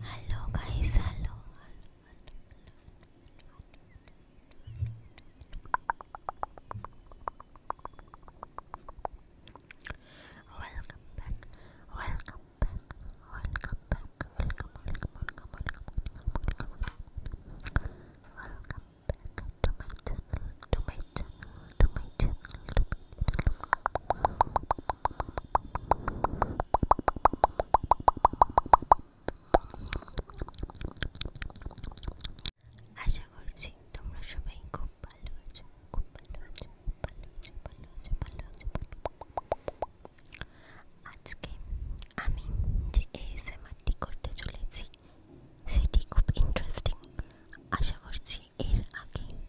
Hello guys, hello. Welcome back. Welcome back. Welcome back. Welcome, welcome, welcome, welcome, welcome, welcome. Welcome back to my channel, to my channel, to my channel, to my channel. আশা করছি তোমরা সবাই খুব ভালো আছো খুব ভালো আছো ভালো আছো ভালো আছো ভালো আছো আজকে আমি যে এএসএমআরটি করতে চলেছি সেটি খুব ইন্টারেস্টিং আশা করছি এর আগে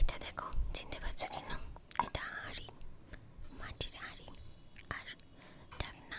এটা দেখো চিনতে পারছো কিনা এটা হাঁড়ি মাটির হাঁড়ি আর ঢাকনা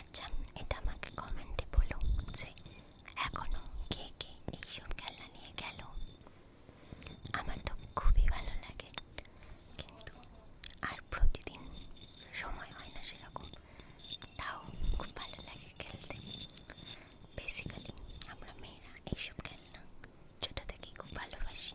আচ্ছা এটা আমাকে কমেন্টে বলুন যে এখনও কে কে এইসব খেলনা নিয়ে গেল আমার তো খুবই ভালো লাগে কিন্তু আর প্রতিদিন সময় হয় না সেরকম তাও খুব ভালো লাগে খেলতে বেসিক্যালি আমরা মেয়েরা এইসব খেলনা ছোটো থেকেই খুব ভালোবাসি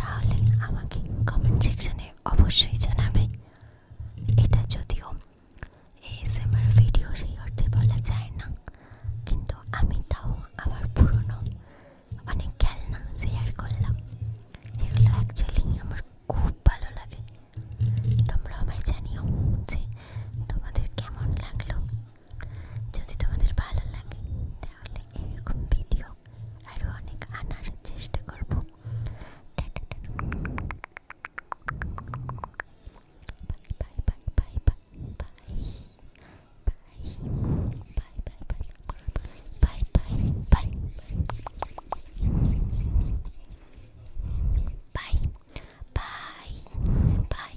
তাহলে আমাকে কমেন্ট সেকশানে অবশ্যই জানাবে এটা যদিও এএসএমআর ভিডিও সেই অর্থে বলা যায় না কিন্তু আমি তাও আমার পুরনো অনেক খেলনা শেয়ার করলাম যেগুলো অ্যাকচুয়ালি আমার খুব ভালো লাগে তোমরা আমায় জানিও যে তোমাদের কেমন লাগলো যদি তোমাদের ভালো লাগে তাহলে এরকম ভিডিও আরও অনেক আনার চেষ্টা করব bye bye bye bye bye bye bye bye bye bye bye bye by